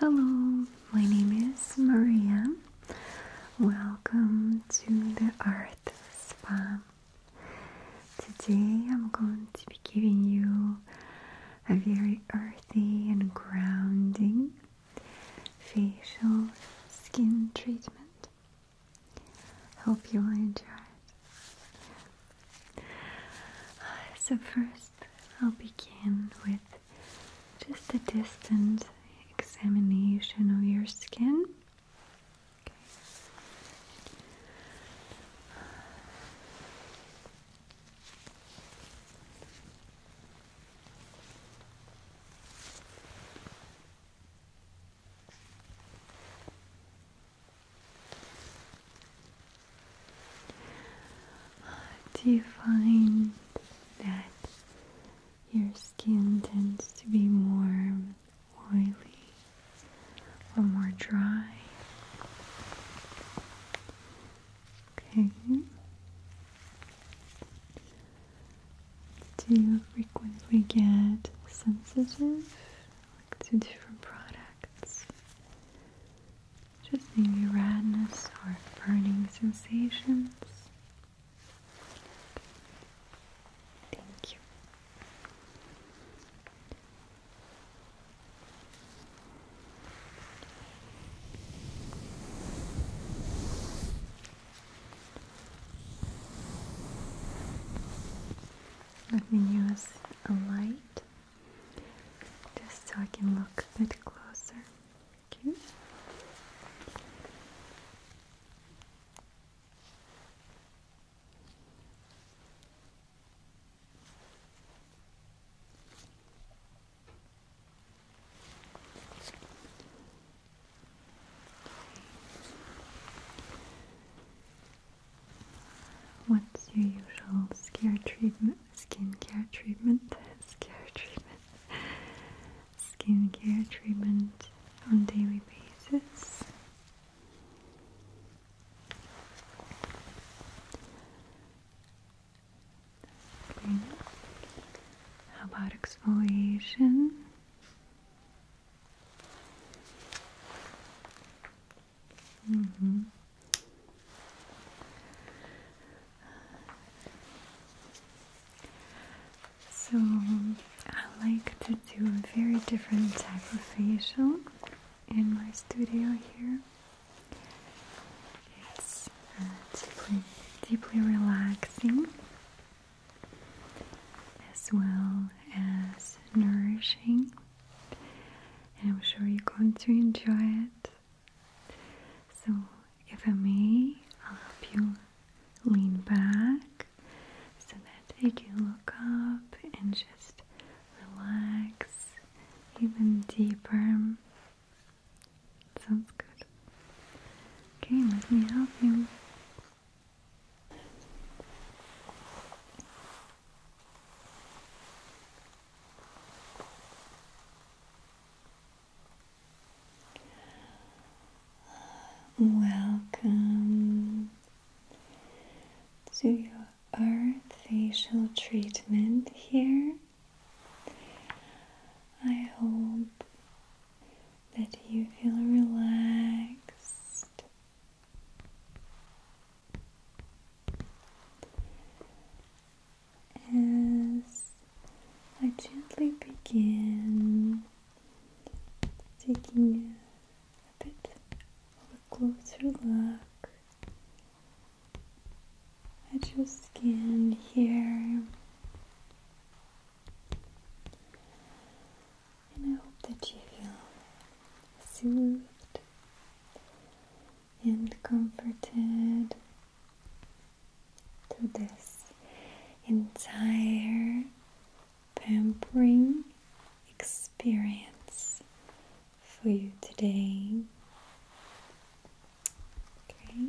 Hello, my name is Maria. Welcome to the Earth Spa. Today I'm going to be giving you a very earthy and grounding facial skin treatment. Hope you'll enjoy it. So, first, I'll begin with just a distant examination of your skin. Do you find that your skin tends to be more oily or more dry? Okay. Do you frequently get sensitive to different products. Just maybe redness or burning sensations. Thank you. Let me use a light just so I can look a bit closer. Okay. What's your usual scare treatment? Skincare treatment? Scare treatment? Skincare treatment on daily basis? How about exfoliation? Mm -hmm. So I like to do a very different type of facial in my studio here. It's uh, deeply, deeply relaxing as well as nourishing, and I'm sure you're going to enjoy it. So, if I may, I'll help you lean back so that you can look up and just relax even deeper. Sounds good. Okay, let me help you. Welcome to your earth facial treatment here. I hope that you feel relaxed as I gently begin taking a bit of a closer look at your skin here. And I hope that you feel soothed and comforted through this entire pampering experience for you today. Okay.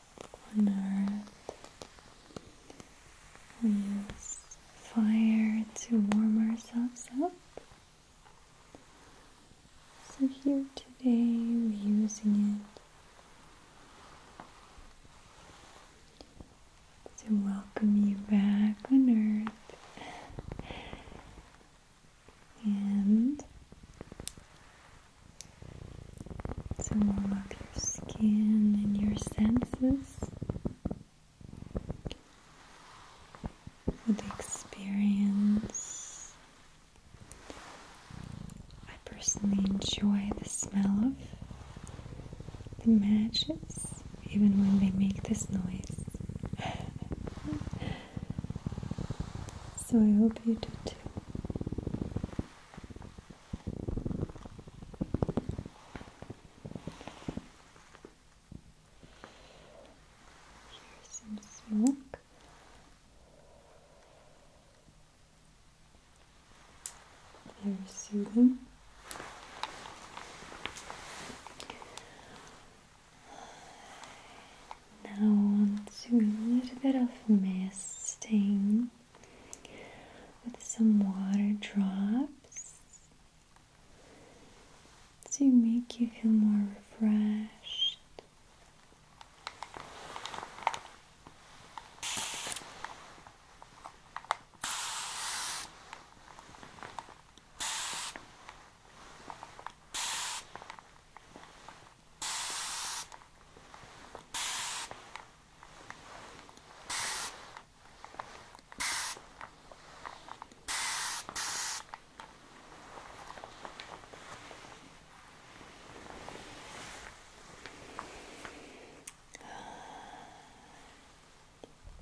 on earth. We use fire to warm ourselves up. So here today we're using it to welcome you back on earth. And so warm up your skin and your senses for the experience. I personally enjoy the smell of the matches, even when they make this noise. so I hope you do too. Here's some smoke. Very soothing. Now onto a little bit of misting with some water drops to make you feel more refreshed.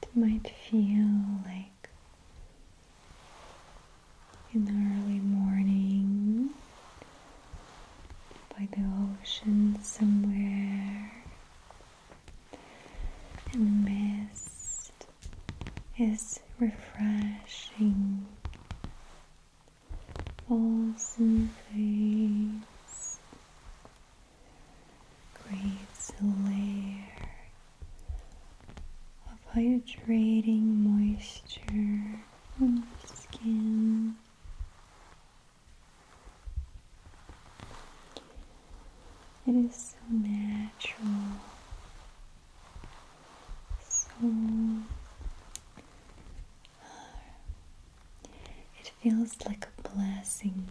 It might feel like in the early morning by the ocean somewhere, and the mist is refreshing, falls in face, creates a layer of hydrating moisture on our skin. It is so natural, so uh, it feels like a blessing,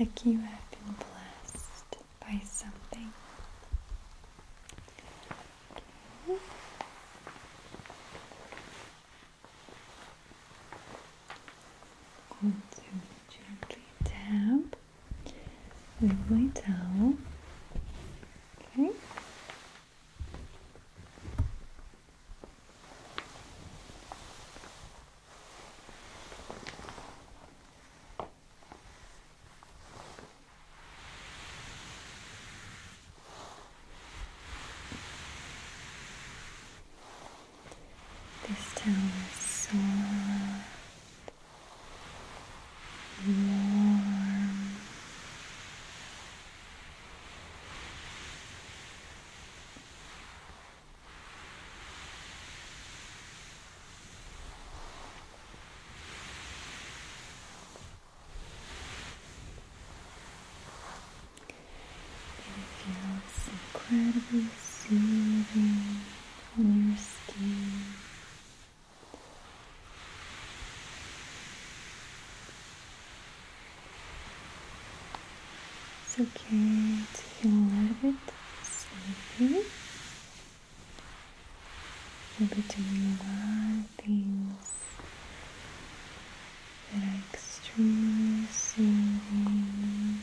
like you have been blessed by something. Okay. Going to gently tap with my towel. Okay. This town is so warm it feels incredibly soothing on your skin. It's okay to feel a little bit sleepy. You'll be doing a lot of things that are extremely soothing.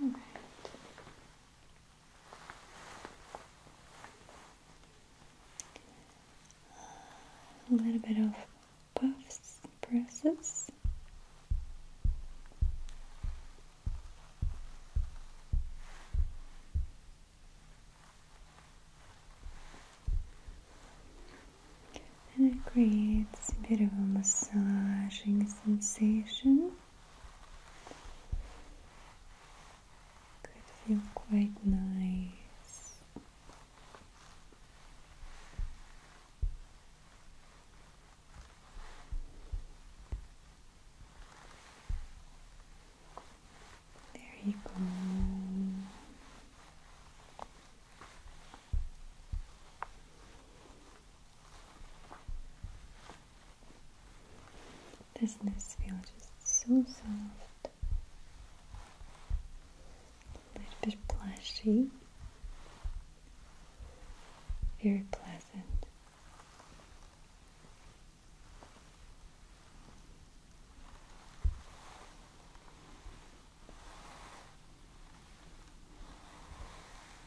All right. A little bit of puffs, presses. And it creates a bit of a massaging sensation could feel quite nice. There you go. Doesn't this feel just so soft? A little bit plushy. Very pleasant.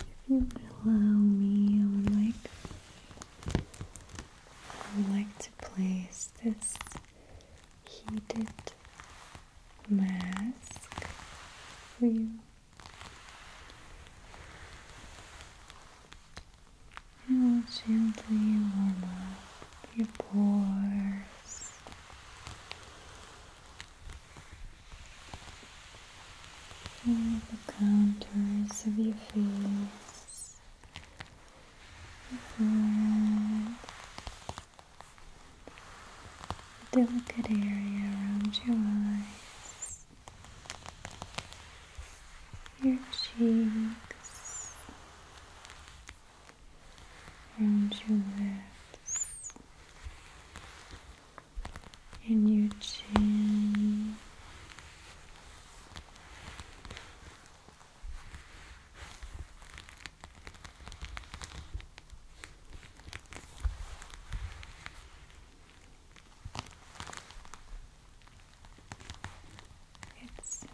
if you would allow me, I would like I would like to place this heated mask for you. It will gently warm up your pores the contours of your face, your forehead, the delicate area around your eyes, your cheeks, around your lips and your chin. It's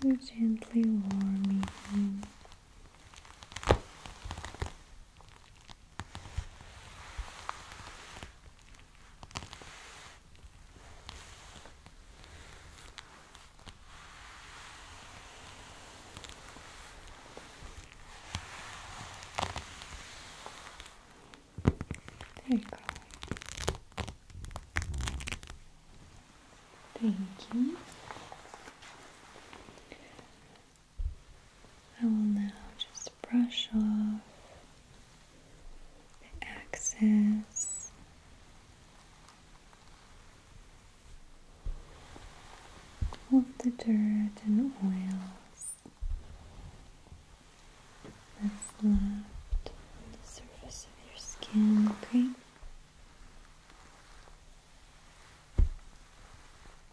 so gently warming. There you go. Thank you. I will now just brush off the excess of the dirt and oils that's left on the surface of your skin, okay?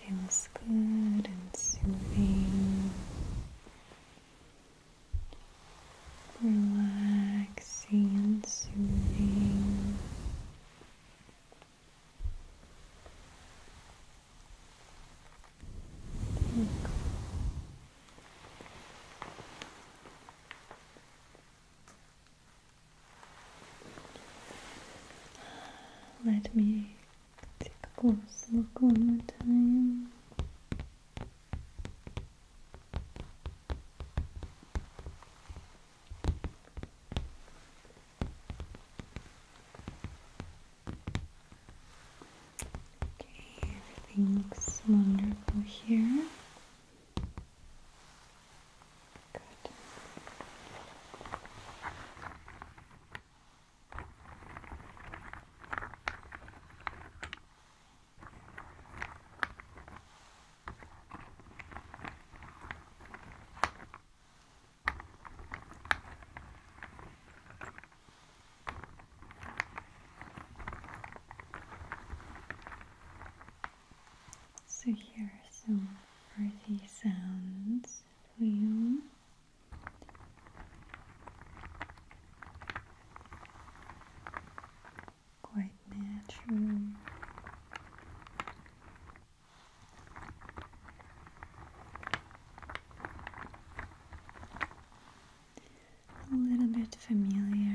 Feels good and soothing, relaxing and soothing. Let me take a close look one more time everything looks wonderful here. Good. So here are some pretty sounds for you quite natural. A little bit familiar.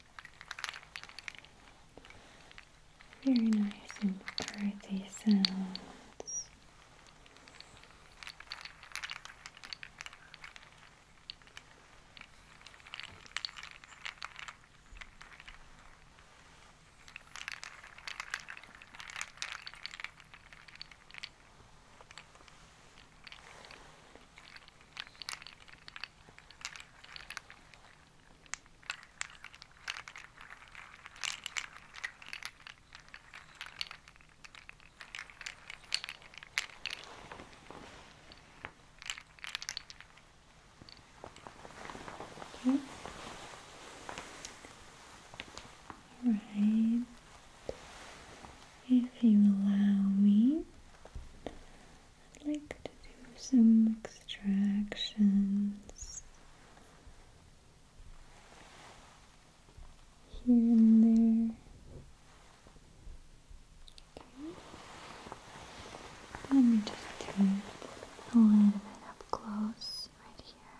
Very nice and earthy sounds. All right. If you allow me, I'd like to do some extractions here and there. Okay. Let me just do it a little bit up close right here.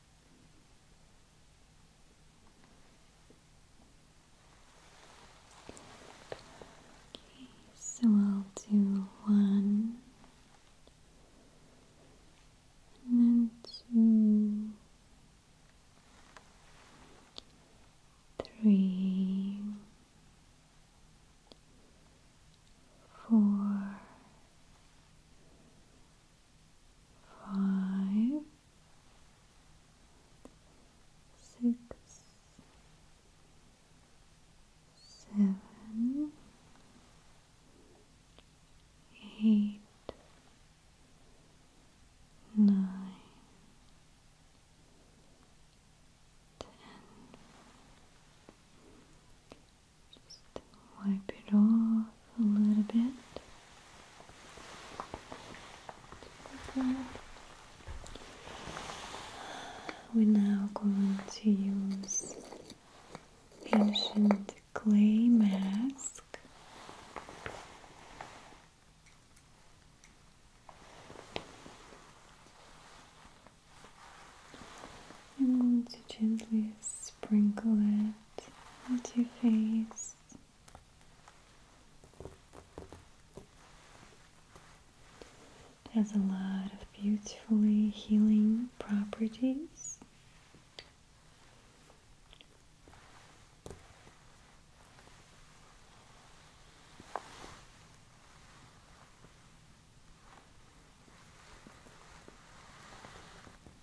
so I'll do one and then two. Three, six, seven, eight, nine, ten. Just wipe it off a little bit. We're now going to use ancient clay mask. and am to gently sprinkle it onto your face has a lot of beautifully healing properties.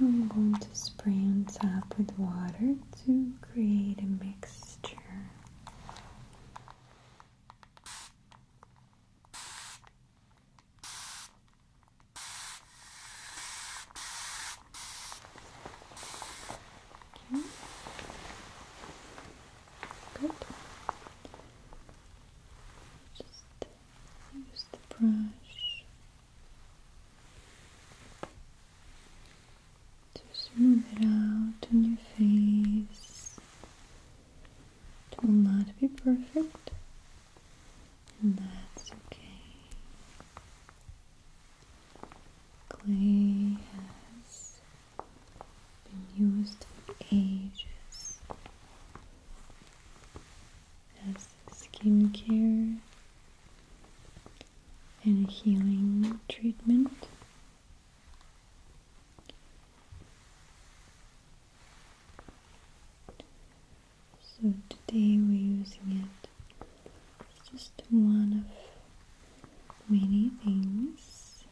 I'm going to spray on top with water to create a mixture. Okay. Good. Just Use the brush to smooth it out on your face. It will not be perfect, and that's okay. Clay has been used for ages skincare and a healing treatment. So today we're using it. It's just one of many things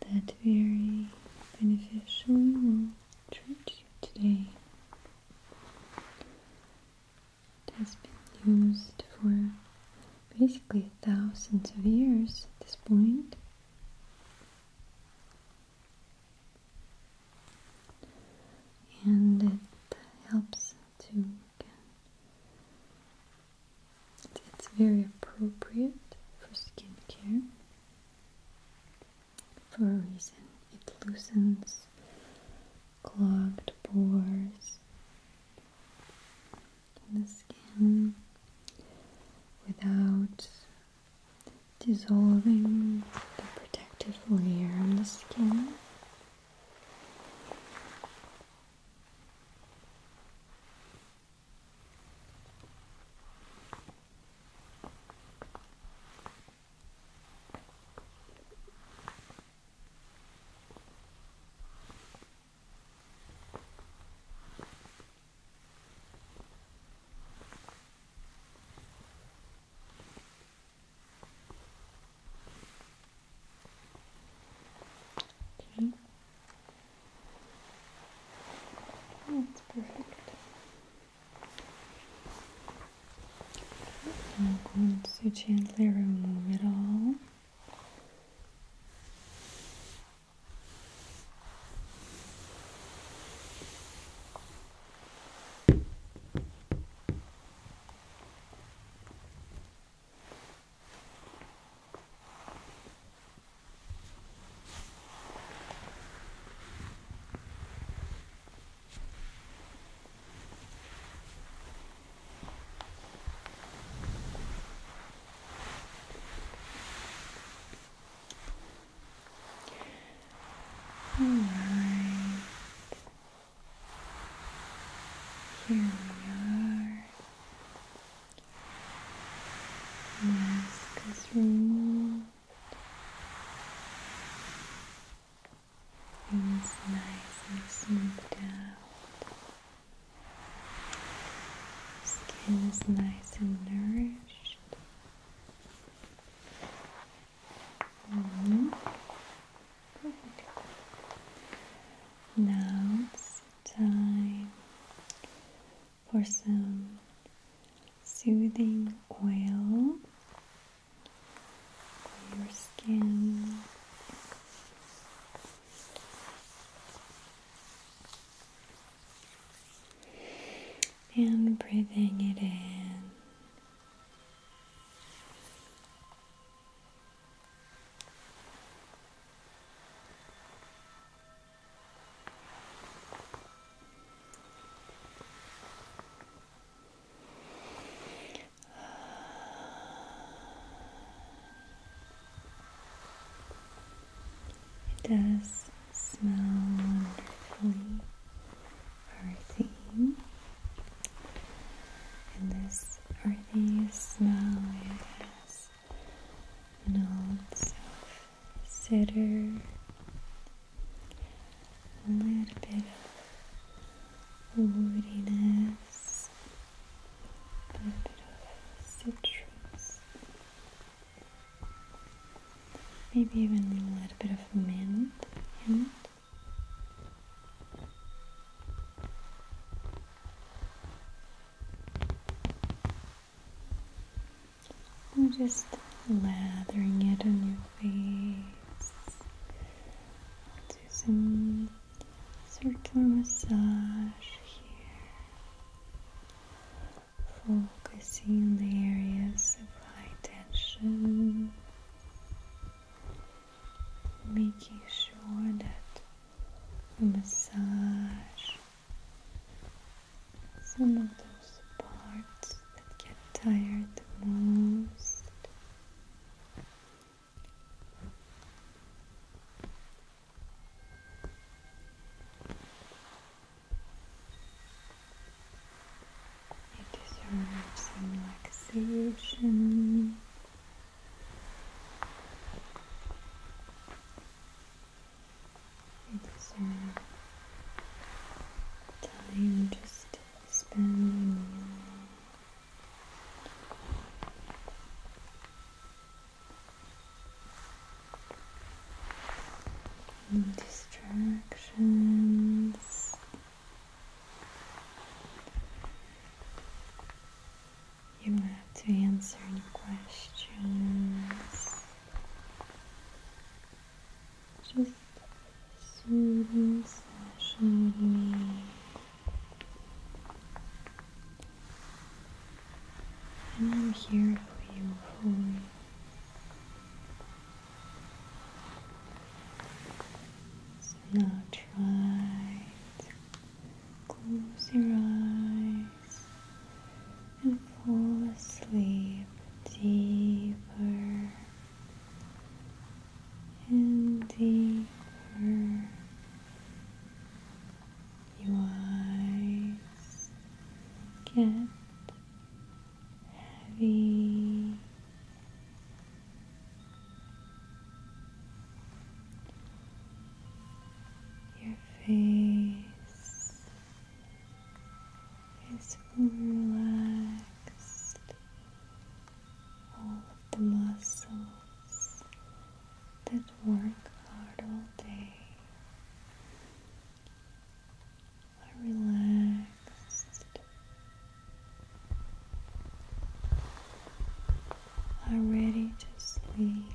that very beneficial today. It has been used for basically thousands of years at this And it helps to again. It's very appropriate for skincare for a reason. It loosens clogged pores in the skin without dissolving the protective layer on the skin. Okay. That's perfect. I'm going to gently remove it all. All right. Here we are. Mask is removed. Things nice and smoothed out. Skin is nice and nourished. Mm Now it's time for some soothing oil on your skin. And breathing it in. It does smell earthy, and this earthy smell it notes of cedar, a little bit of woodiness, a little bit of citrus, maybe even a little bit of mint. mint. And just lathering it on your face. I'll do some circular massage here, focusing the areas of high tension, making sure that massage some of those parts that get tired the most. You deserve some relaxation. It's uh, time just spending uh, distractions. You have to answer any questions. Just soothing slash relief. And I'm here for you fully. So now try to close your eyes and fall asleep deeper and deeper. Your eyes get heavy. Your face is relaxed. All the muscles that work hard all day are relaxed, are ready to sleep.